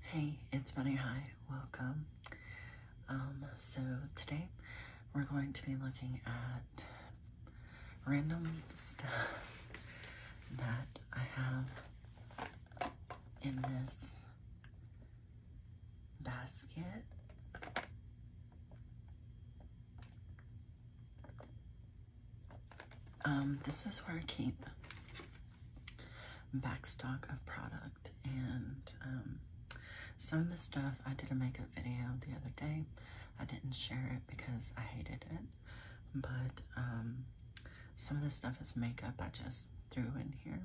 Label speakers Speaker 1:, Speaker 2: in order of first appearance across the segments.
Speaker 1: Hey, it's Bunny High. Welcome. Um, so today we're going to be looking at random stuff that I have in this basket. Um, this is where I keep backstock of product and um, some of the stuff I did a makeup video the other day. I didn't share it because I hated it, but um, some of the stuff is makeup I just threw in here.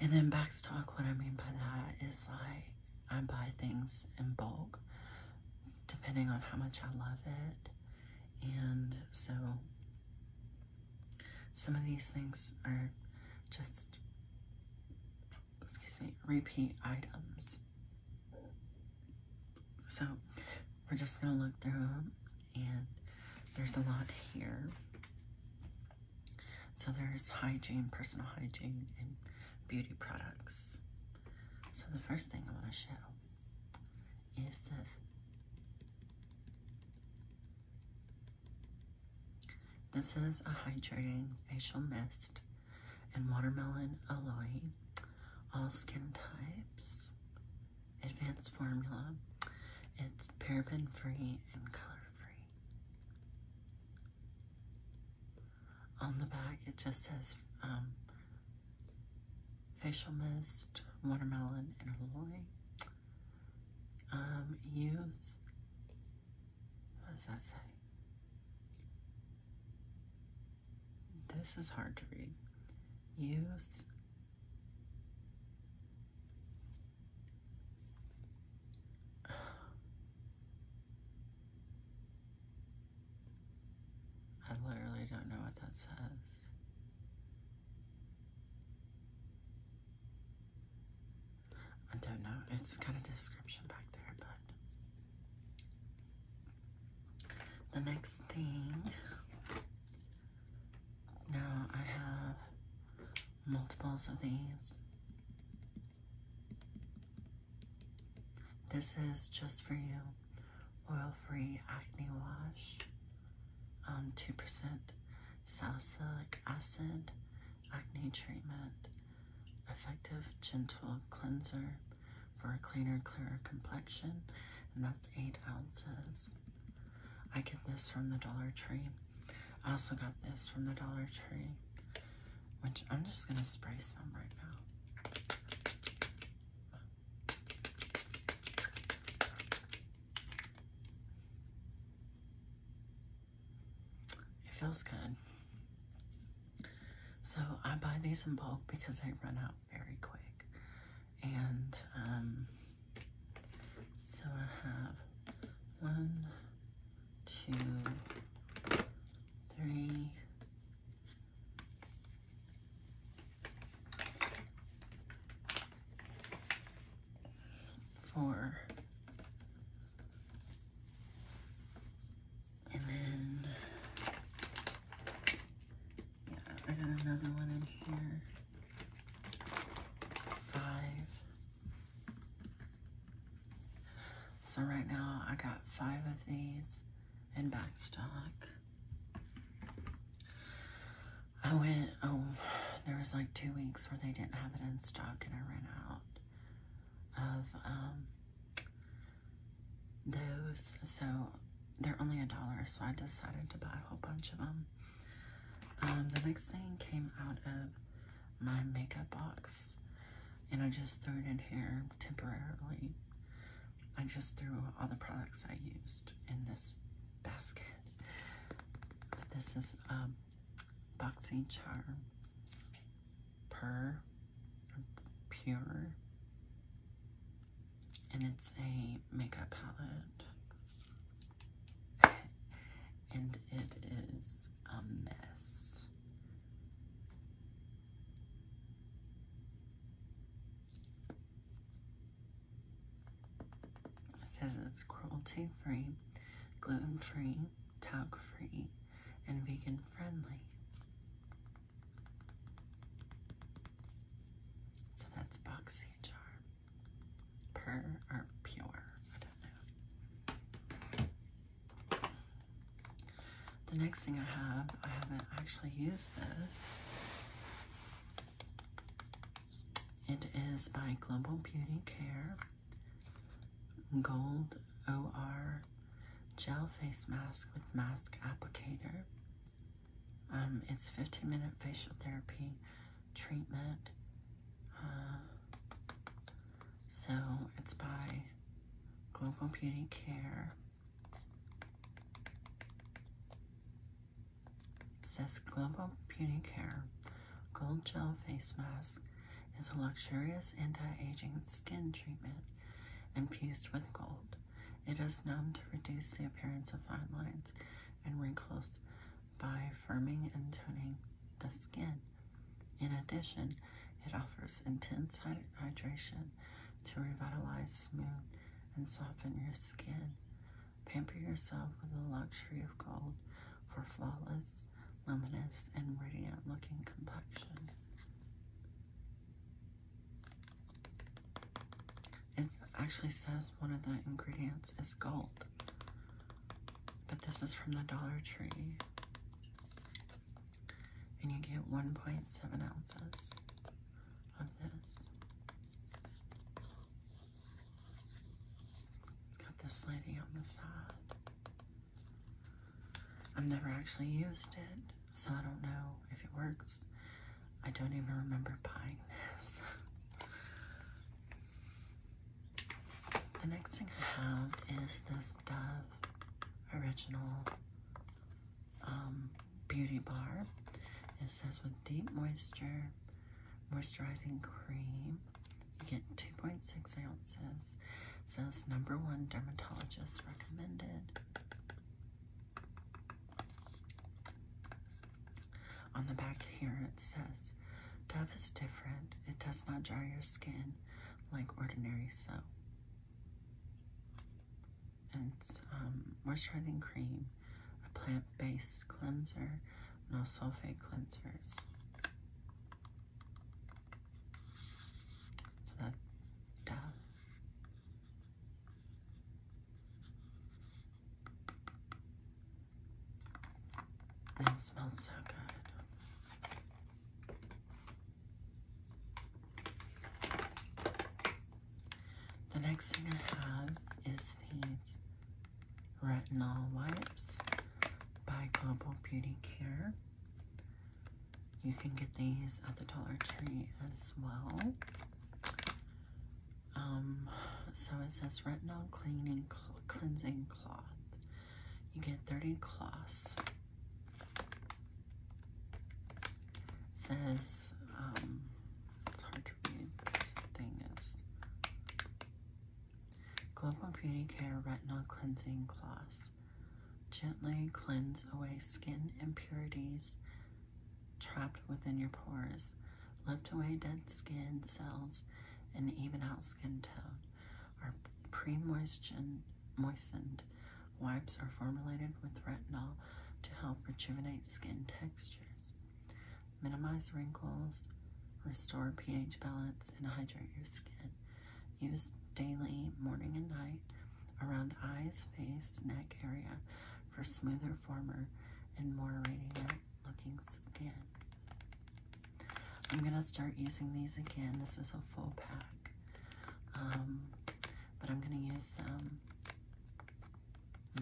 Speaker 1: And then backstock, what I mean by that is like I buy things in bulk depending on how much I love it. And so some of these things are just, excuse me, repeat items. So we're just going to look through them and there's a lot here. So there's hygiene, personal hygiene, and beauty products. So the first thing I want to show is this is a hydrating facial mist and watermelon aloe, all skin types, advanced formula. It's paraben free and color free. On the back, it just says um, facial mist, watermelon, and aloe. Um, use, what does that say? This is hard to read. Use I literally don't know what that says. I don't know. It's kind of a description back there, but the next thing now I have multiples of these. This is just for you oil-free acne wash, 2% um, salicylic acid, acne treatment, effective gentle cleanser for a cleaner, clearer complexion, and that's eight ounces. I get this from the Dollar Tree. I also got this from the Dollar Tree, which I'm just gonna spray some right now. It feels good. So I buy these in bulk because they run out very quick. And um, so I have one, two, three, four. And then, yeah, I got another one in here. Five. So right now I got five of these and backstock. I went, oh, there was like two weeks where they didn't have it in stock and I ran out of um, those. So they're only a dollar, so I decided to buy a whole bunch of them. Um, the next thing came out of my makeup box and I just threw it in here temporarily I just threw all the products I used in this basket. But this is a Boxing Charm Pur, Pure, and it's a makeup palette. and it is a mess. It says it's cruelty free, gluten free, talc free, and vegan friendly. So that's boxy jar. or pure, I don't know. The next thing I have, I haven't actually used this, it is by Global Beauty Care Gold OR Gel Face Mask with Mask Applicator. Um, it's 15 minute facial therapy treatment. Uh, so it's by Global Beauty Care says Global Beauty Care Gold Gel Face Mask is a luxurious anti-aging skin treatment infused with gold. It is known to reduce the appearance of fine lines and wrinkles by firming and toning the skin. In addition, it offers intense hydration to revitalize smooth and soften your skin. Pamper yourself with the luxury of gold for flawless, luminous, and radiant looking complexion. It actually says one of the ingredients is gold, but this is from the Dollar Tree. And you get 1.7 ounces. It's got this lighting on the side. I've never actually used it, so I don't know if it works. I don't even remember buying this. the next thing I have is this Dove Original um, beauty bar. It says with deep moisture moisturizing cream. You get 2.6 ounces. It says number one dermatologist recommended. On the back here it says, Dove is different. It does not dry your skin like ordinary soap and um, moisturizing cream, a plant-based cleanser, no sulfate cleansers. So that Dove. it smells so good. The next thing I have is these retinol wipes by Global Beauty Care. You can get these at the Dollar Tree as well. Um, so it says retinol cleaning cleansing cloth. You get 30 cloths says, um, it's hard to read, this thing is, Global Beauty Care Retinol Cleansing Cloth. Gently cleanse away skin impurities trapped within your pores. Lift away dead skin cells and even out skin tone. Are pre-moistened Wipes are formulated with retinol to help rejuvenate skin textures, minimize wrinkles, restore pH balance, and hydrate your skin. Use daily, morning and night, around eyes, face, neck area for smoother, firmer, and more radiant-looking skin. I'm gonna start using these again. This is a full pack, um, but I'm gonna use them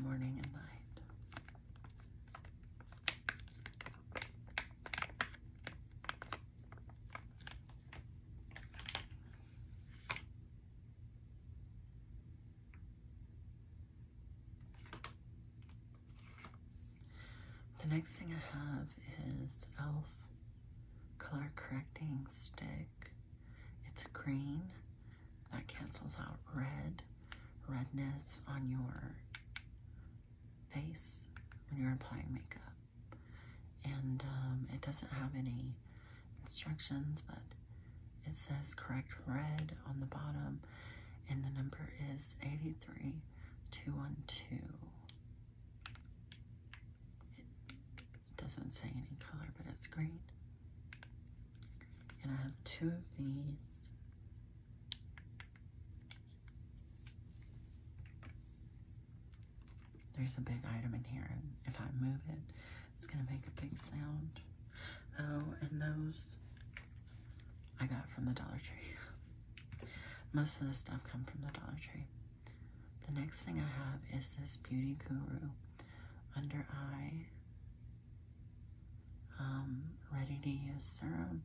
Speaker 1: morning and night. The next thing I have is e.l.f. Color Correcting Stick. It's a green. That cancels out red. Redness on your face when you're applying makeup. And um, it doesn't have any instructions, but it says correct red on the bottom. And the number is 83212. It doesn't say any color, but it's green. And I have two of these. There's a big item in here, and if I move it, it's going to make a big sound. Oh, and those I got from the Dollar Tree. Most of the stuff come from the Dollar Tree. The next thing I have is this Beauty Guru under eye um, ready to use serum.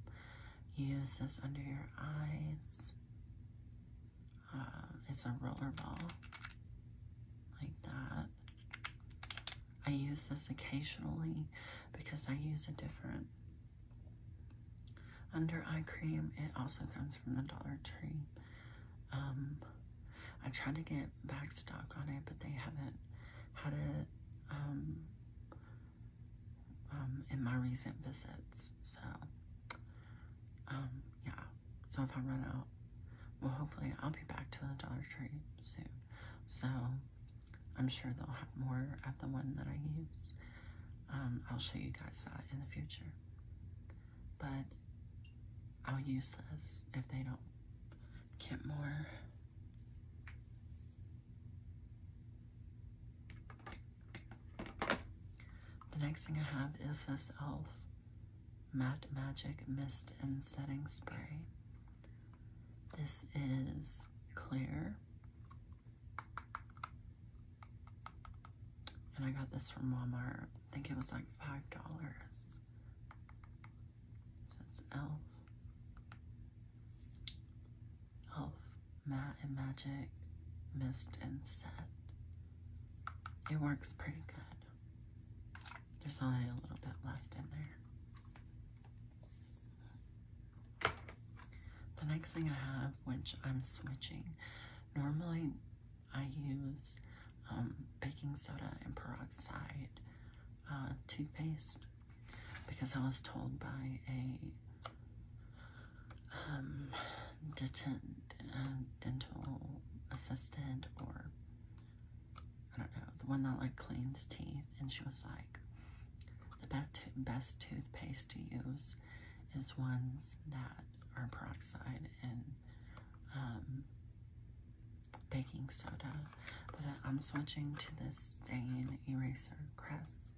Speaker 1: Use this under your eyes. Uh, it's a roller ball like that. I use this occasionally because I use a different under eye cream. It also comes from the Dollar Tree. Um, I tried to get back stock on it, but they haven't had it um, um, in my recent visits. So, yeah. So if I run out, well, hopefully I'll be back to the Dollar Tree soon. So I'm sure they'll have more of the one that I use. I'll show you guys that in the future but I'll use this if they don't get more. The next thing I have is this e.l.f. Matte Magic Mist and Setting Spray. This is clear. And I got this from Walmart. I think it was like five dollars. it's elf. Elf matte and magic mist and set. It works pretty good. There's only a little bit left in there. The next thing I have, which I'm switching, normally I use um, baking soda and peroxide uh, toothpaste because I was told by a um, dentist, uh, dental assistant or I don't know, the one that like cleans teeth and she was like, the best, best toothpaste to use is ones that or peroxide and um, baking soda. But uh, I'm switching to this stain eraser crest.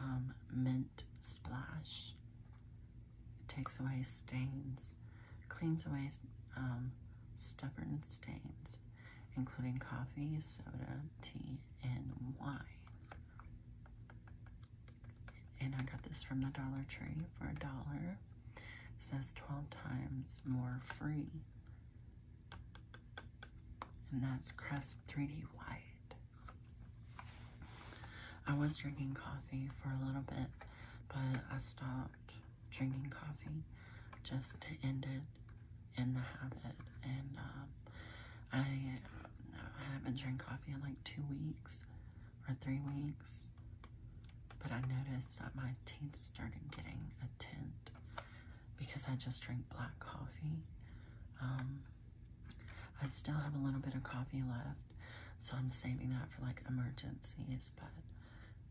Speaker 1: Um, mint splash. It takes away stains, cleans away um, stubborn stains, including coffee, soda, tea, and wine. And I got this from the Dollar Tree for a dollar. It says 12 times more free. And that's Crest 3D White. I was drinking coffee for a little bit, but I stopped drinking coffee just to end it in the habit. And um, I, haven't drank coffee in like two weeks or three weeks, but I noticed that my teeth started getting a tint because I just drink black coffee. Um, I still have a little bit of coffee left, so I'm saving that for like emergencies, but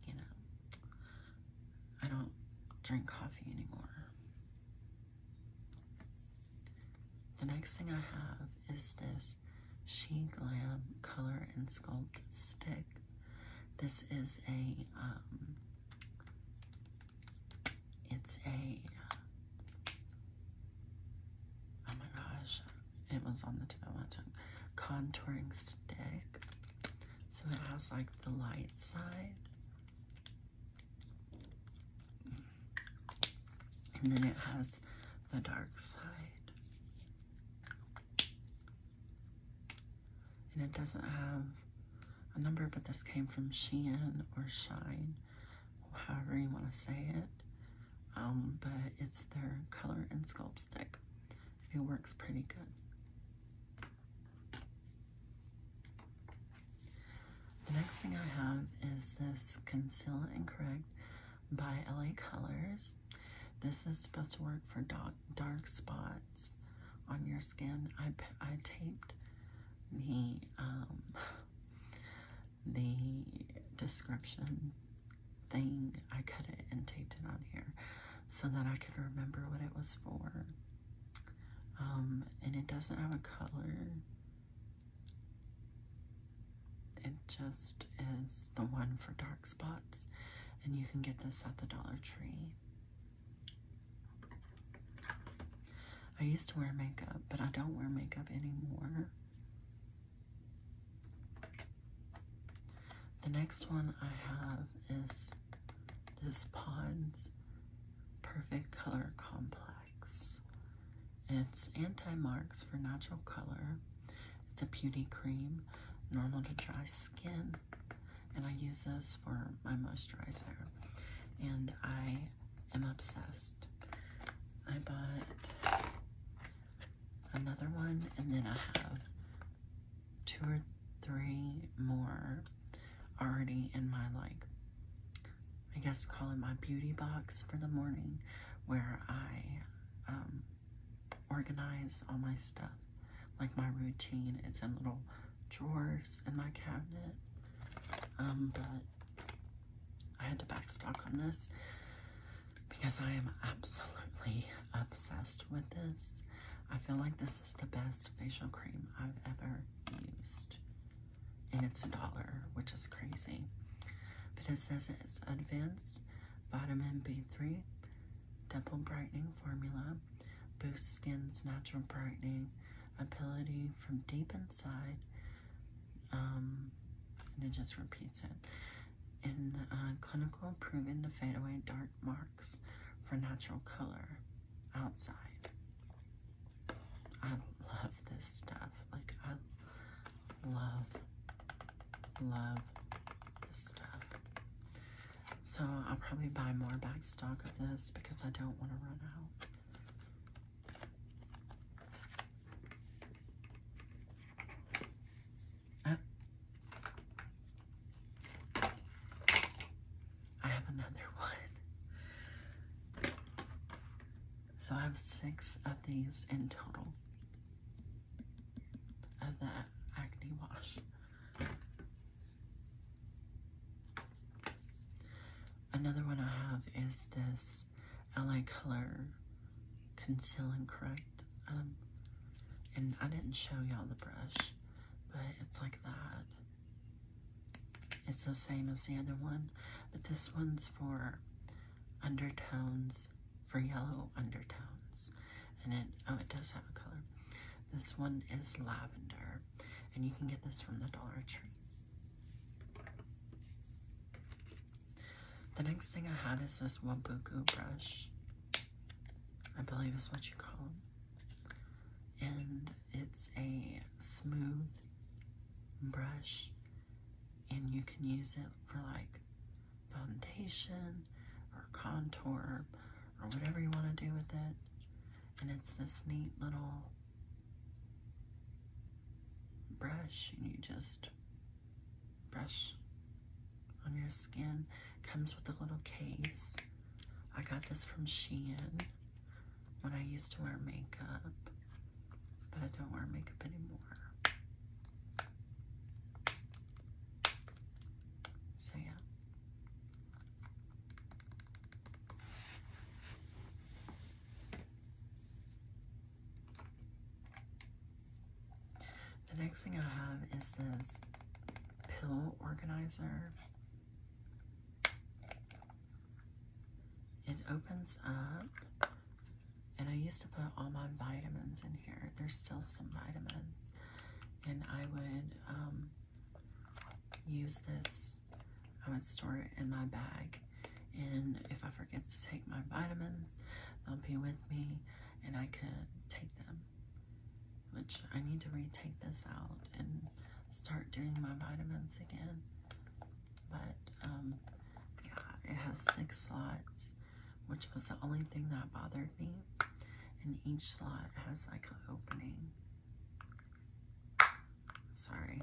Speaker 1: you know, I don't drink coffee anymore. The next thing I have is this She Glam Color and Sculpt Stick. This is a, um, it's a, oh my gosh, it was on the tip of my tongue, contouring stick. So it has like the light side and then it has the dark side. And it doesn't have a number, but this came from Shein or Shine, however you want to say it. Um, but it's their color and sculpt stick. And it works pretty good. The next thing I have is this Conceal and Correct by LA Colors. This is supposed to work for dark, dark spots on your skin. I, I taped the, um, the description thing. I cut it and taped it on here so that I could remember what it was for. Um, and it doesn't have a color it just is the one for dark spots, and you can get this at the Dollar Tree. I used to wear makeup, but I don't wear makeup anymore. The next one I have is this Pond's Perfect Color Complex. It's anti-marks for natural color. It's a putty cream, normal to dry skin, and I use this for my moisturizer. And I am obsessed. I bought another one, and then I have two or three more already in my like I guess call it my beauty box for the morning where I um, organize all my stuff. Like my routine, it's in little drawers in my cabinet. Um, but I had to backstock on this because I am absolutely obsessed with this. I feel like this is the best facial cream I've ever used and it's a dollar, which is crazy. But it says it's advanced vitamin B3, double brightening formula, boosts skin's natural brightening ability from deep inside. Um, and it just repeats it. In uh, clinical, proven to fade away dark marks for natural color outside. I love this stuff. Like, I love, love this stuff. So I'll probably buy more backstock of this because I don't want to run out. Ah. I have another one. So I have six of these in total of that acne wash. Another one I have is this LA Color Conceal Correct. Um, and I didn't show y'all the brush, but it's like that. It's the same as the other one, but this one's for undertones, for yellow undertones. And it, oh, it does have a color. This one is lavender, and you can get this from the Dollar Tree. The next thing I have is this Wambuku brush. I believe is what you call them. And it's a smooth brush, and you can use it for like foundation or contour or whatever you want to do with it. And it's this neat little brush, and you just brush on your skin. Comes with a little case. I got this from Shein when I used to wear makeup, but I don't wear makeup anymore. So, yeah. The next thing I have is this pill organizer. It opens up, and I used to put all my vitamins in here. There's still some vitamins, and I would um, use this. I would store it in my bag, and if I forget to take my vitamins, they'll be with me, and I could take them. Which I need to retake this out and start doing my vitamins again. But um, yeah, it has six slots, which was the only thing that bothered me. And each slot has like an opening. Sorry.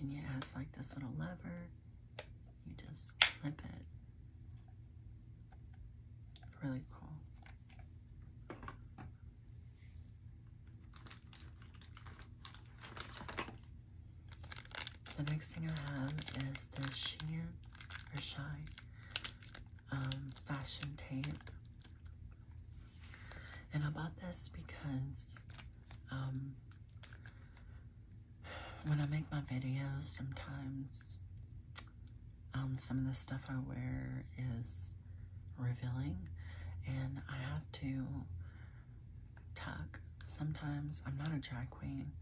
Speaker 1: And yeah, it has like this little lever. You just clip it. Really cool. The next thing I have is the Sheer or Shine um, Fashion Tape. And I bought this because um, when I make my videos, sometimes um, some of the stuff I wear is revealing and I have to tuck. Sometimes I'm not a drag queen.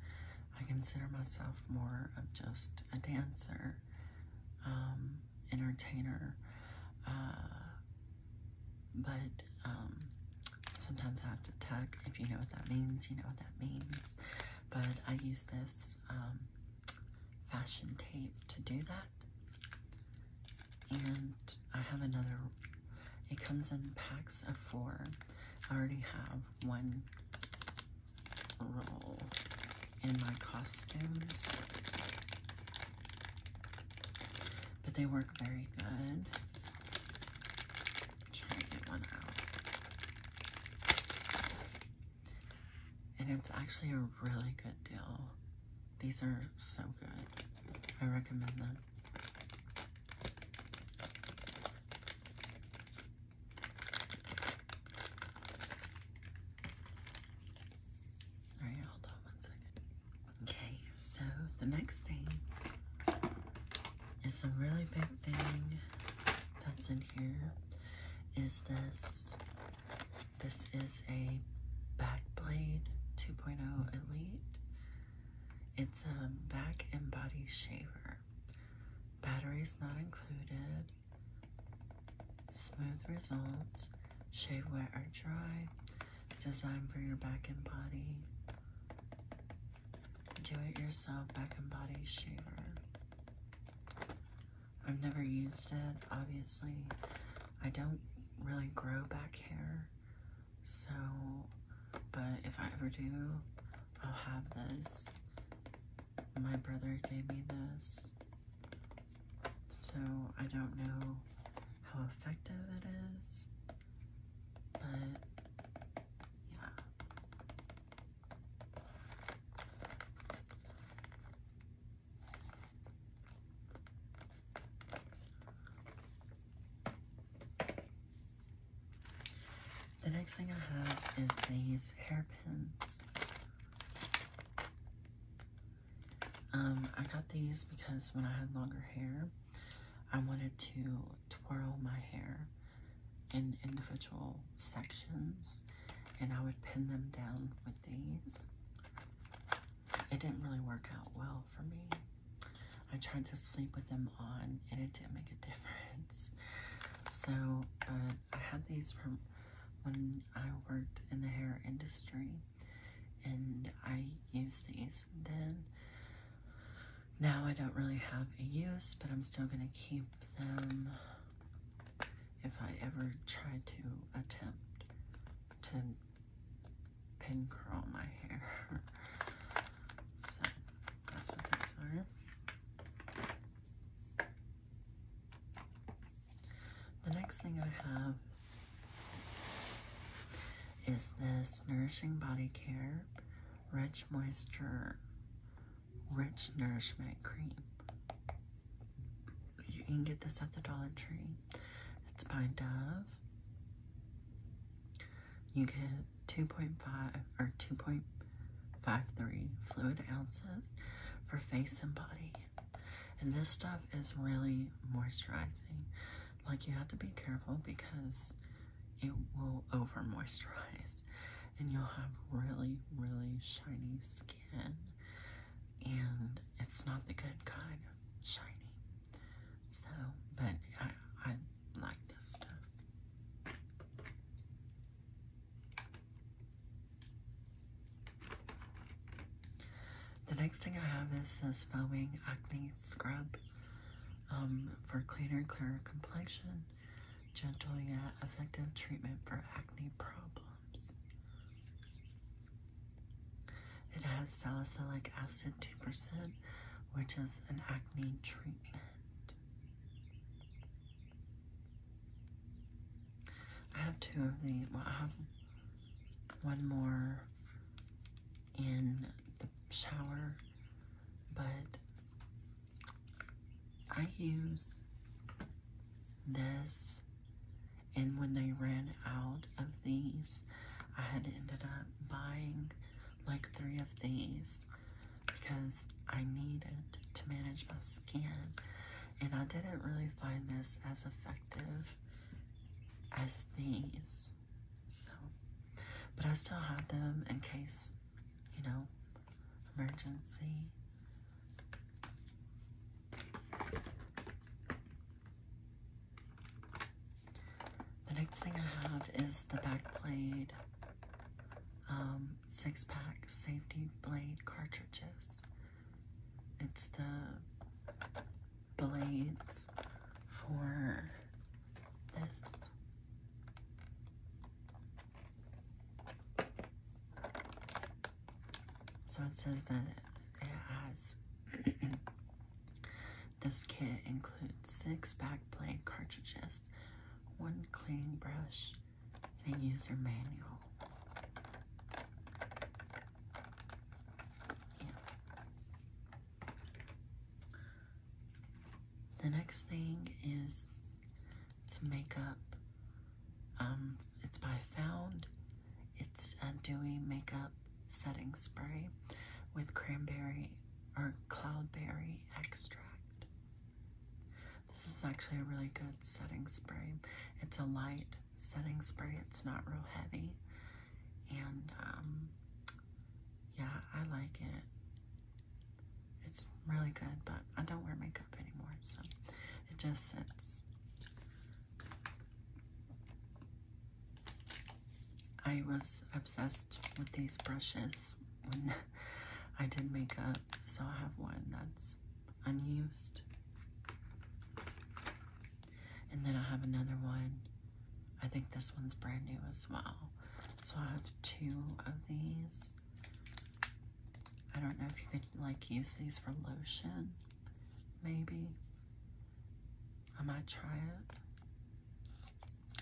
Speaker 1: I consider myself more of just a dancer, um, entertainer, uh, but um, sometimes I have to tuck. If you know what that means, you know what that means. But I use this fashion tape to do that. And I have another, it comes in packs of four. I already have one roll in my costumes. But they work very good. Try get one out and it's actually a really good deal. These are so good. I recommend them. All right, hold on one second. Okay, so the next thing is a really big thing that's in here is this this is a Backblade 2.0 Elite. It's a back and body shaver. Battery is not included. Smooth results. Shave wet or dry. Designed for your back and body. Do it yourself back and body shaver. I've never used it, obviously. I don't really grow back hair, so, but if I ever do, I'll have this. My brother gave me this, so I don't know how effective it is, but yeah. The next thing I have is these hairpins. Um, I got these because when I had longer hair, I wanted to twirl my hair in individual sections and I would pin them down with these. It didn't really work out well for me. I tried to sleep with them on and it didn't make a difference. So, I had these from when I worked in the hair industry and I used these then. Now I don't really have a use, but I'm still going to keep them if I ever try to attempt to pin curl my hair. that's what those are. The next thing I have is this Nourishing Body Care Rich Moisture Rich Nourishment Cream. You can get this at the Dollar Tree. It's by Dove. You get 2.5 or 2.53 fluid ounces for face and body. And this stuff is really moisturizing. Like you have to be careful because it will over moisturize and you'll have really, really shiny skin and it's not the good kind of shiny. So, but I, I like this stuff. The next thing I have is this foaming acne scrub um, for cleaner, clearer complexion gentle yet effective treatment for acne problems. It has salicylic acid 2%, which is an acne treatment. I have two of the, well, I have one more in the shower, but I use this. And when they ran out of these, I had ended up buying like three of these because I needed to manage my skin. And I didn't really find this as effective as these. So, but I still have them in case, you know, emergency. The next thing I have is the back blade um, six pack safety blade cartridges. It's the blades for this. So it says that it has this kit includes six backplate cartridges, one cleaning brush, and a user manual. The next thing is it's makeup. Um, it's by Found. It's a dewy makeup setting spray with cranberry or cloudberry extract. This is actually a really good setting spray. It's a light setting spray. It's not real heavy. And um, yeah, I like it. It's really good, but I don't wear makeup anymore, so it just sits. I was obsessed with these brushes when I did makeup, so I have one that's unused. And then I have another one. I think this one's brand new as well. So I have two of these. I don't know if you could like use these for lotion, maybe. I might try it.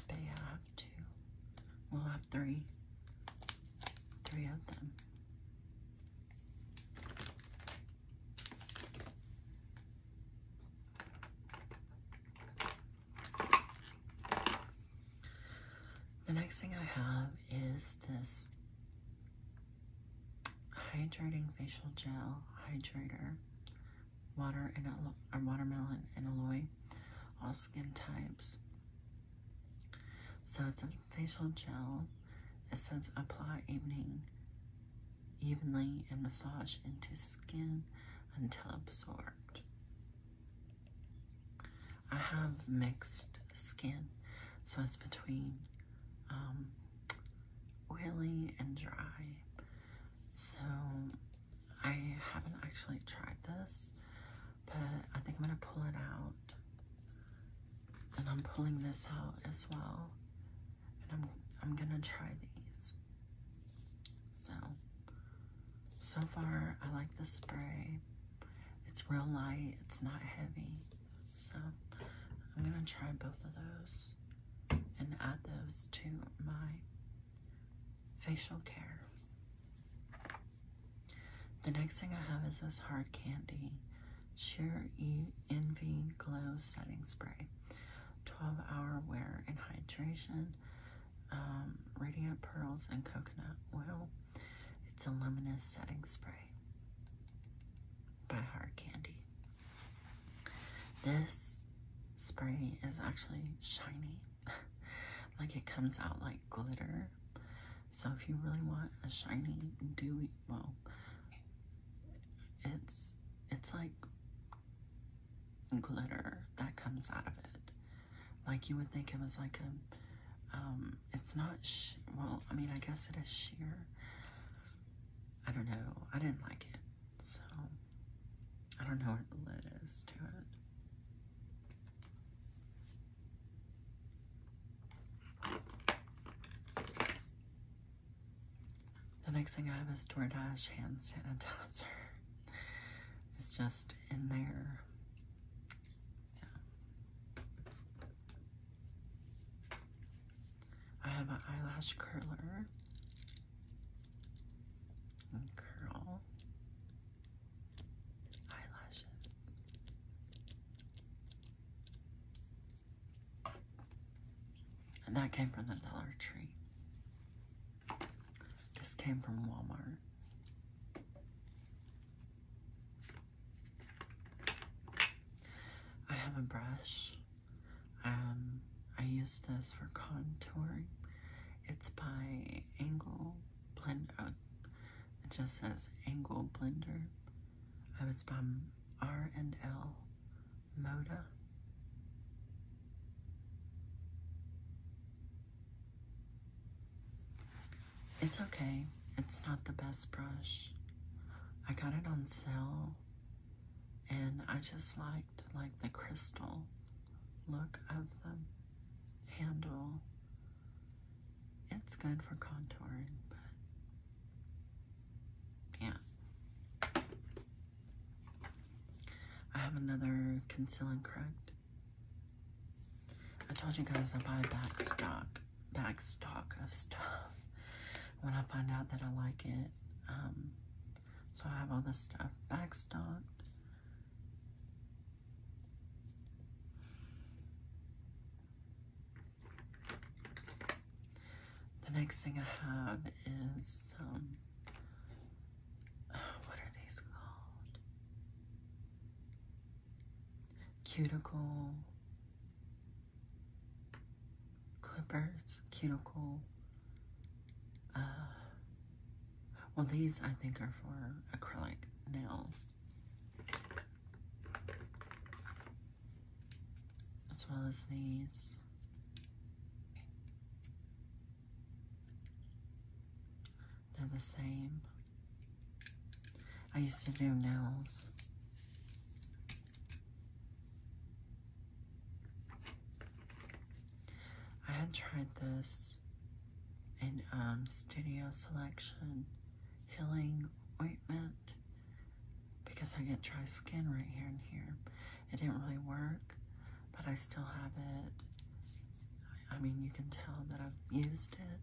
Speaker 1: They have two. We'll have three. Three of them. The next thing I have is this hydrating facial gel hydrator, water and or watermelon and aloe, all skin types. So it's a facial gel. It says apply evening evenly and massage into skin until absorbed. I have mixed skin, so it's between um, oily and dry. So I haven't actually tried this, but I think I'm going to pull it out. And I'm pulling this out as well. And I'm, I'm going to try these. So so far, I like the spray. It's real light, it's not heavy. So I'm gonna try both of those and add those to my facial care. The next thing I have is this Hard Candy Sheer e Envy Glow Setting Spray. 12 hour wear and hydration, um, radiant pearls and coconut oil. It's a luminous setting spray by Hard Candy. This spray is actually shiny. like it comes out like glitter. So if you really want a shiny, dewy, well, it's it's like glitter that comes out of it. Like you would think it was like a, um, it's not, well, I mean, I guess it is sheer. I don't know. I didn't like it. So, I don't know what the lid is to it. The next thing I have is DoorDash hand sanitizer. It's just in there. I have an eyelash curler curl eyelashes. And that came from the Dollar Tree. This came from Walmart. I have a brush. Um, I use this for contouring. It's by Angle Blender. Uh, it just says Angle Blender. I was by R and L Moda. It's okay. It's not the best brush. I got it on sale and I just liked like the crystal look of the handle. It's good for contouring, but yeah. I have another concealing and correct I told you guys I buy backstock, backstock of stuff when I find out that I like it. Um, so I have all this stuff backstock. The next thing I have is um, what are these called? Cuticle clippers, cuticle. Uh, well, these I think are for acrylic nails. As well as these. They're the same. I used to do nails. I had tried this in um, Studio Selection Healing Ointment because I get dry skin right here and here. It didn't really work, but I still have it. I mean, you can tell that I've used it,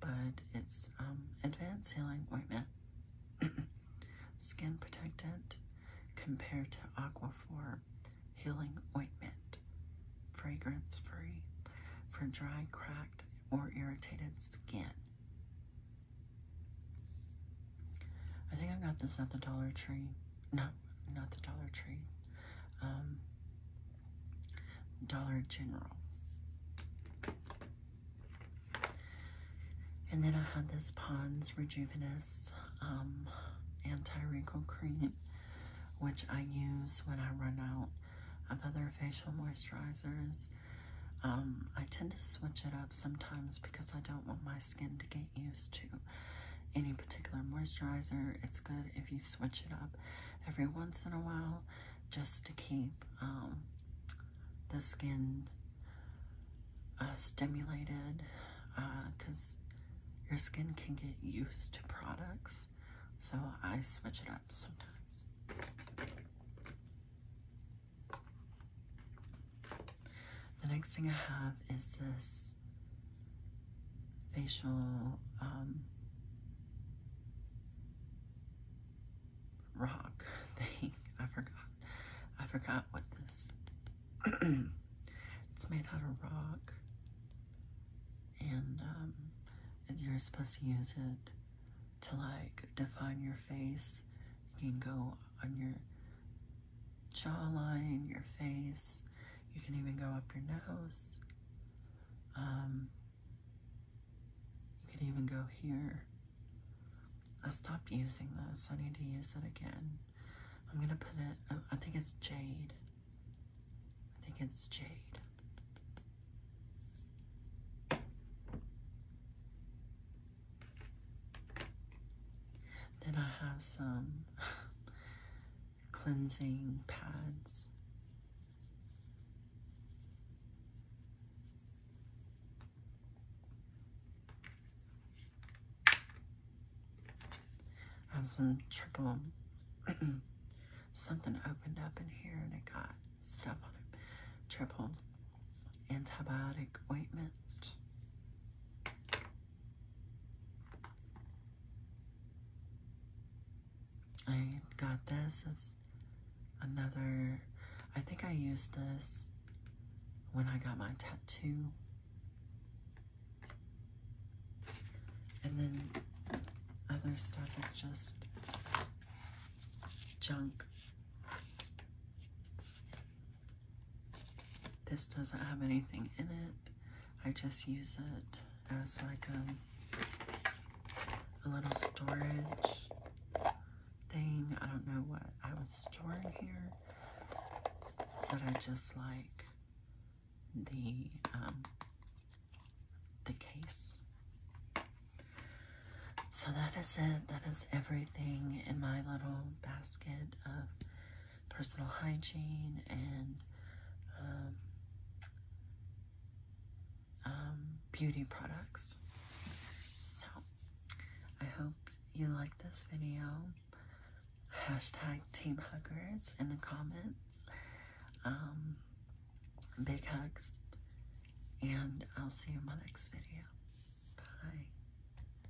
Speaker 1: but it's um, advanced healing ointment, skin protectant compared to Aquaphor healing ointment, fragrance free for dry, cracked, or irritated skin. I think I got this at the Dollar Tree not not the Dollar Tree, um, Dollar General. And then I have this Pond's Rejuvenis um, Anti-Wrinkle Cream, which I use when I run out of other facial moisturizers. Um, I tend to switch it up sometimes because I don't want my skin to get used to any particular moisturizer. It's good if you switch it up every once in a while just to keep um, the skin uh, stimulated because uh, your skin can get used to products. So I switch it up sometimes. The next thing I have is this facial um, rock thing. I forgot. I forgot what this. it's made out of rock, um, and you're supposed to use it to like define your face. You can go on your jawline, your face. You can even go up your nose. Um, you can even go here. I stopped using this. I need to use it again. I'm going to put it, oh, I think it's jade. I think it's jade. Then I have some cleansing pads. I have some triple, something opened up in here and it got stuff on it. Triple antibiotic ointment. I got this as another, I think I used this when I got my tattoo. And then other stuff is just junk. This doesn't have anything in it. I just use it as like a, um, a little storage thing. I don't know what I was storing here, but I just like the um, the case. So that is it. That is everything in my little basket of personal hygiene and um, um, beauty products. So, I hope you like this video. Hashtag Team Huggers in the comments. Um, big hugs. And I'll see you in my next video. Bye.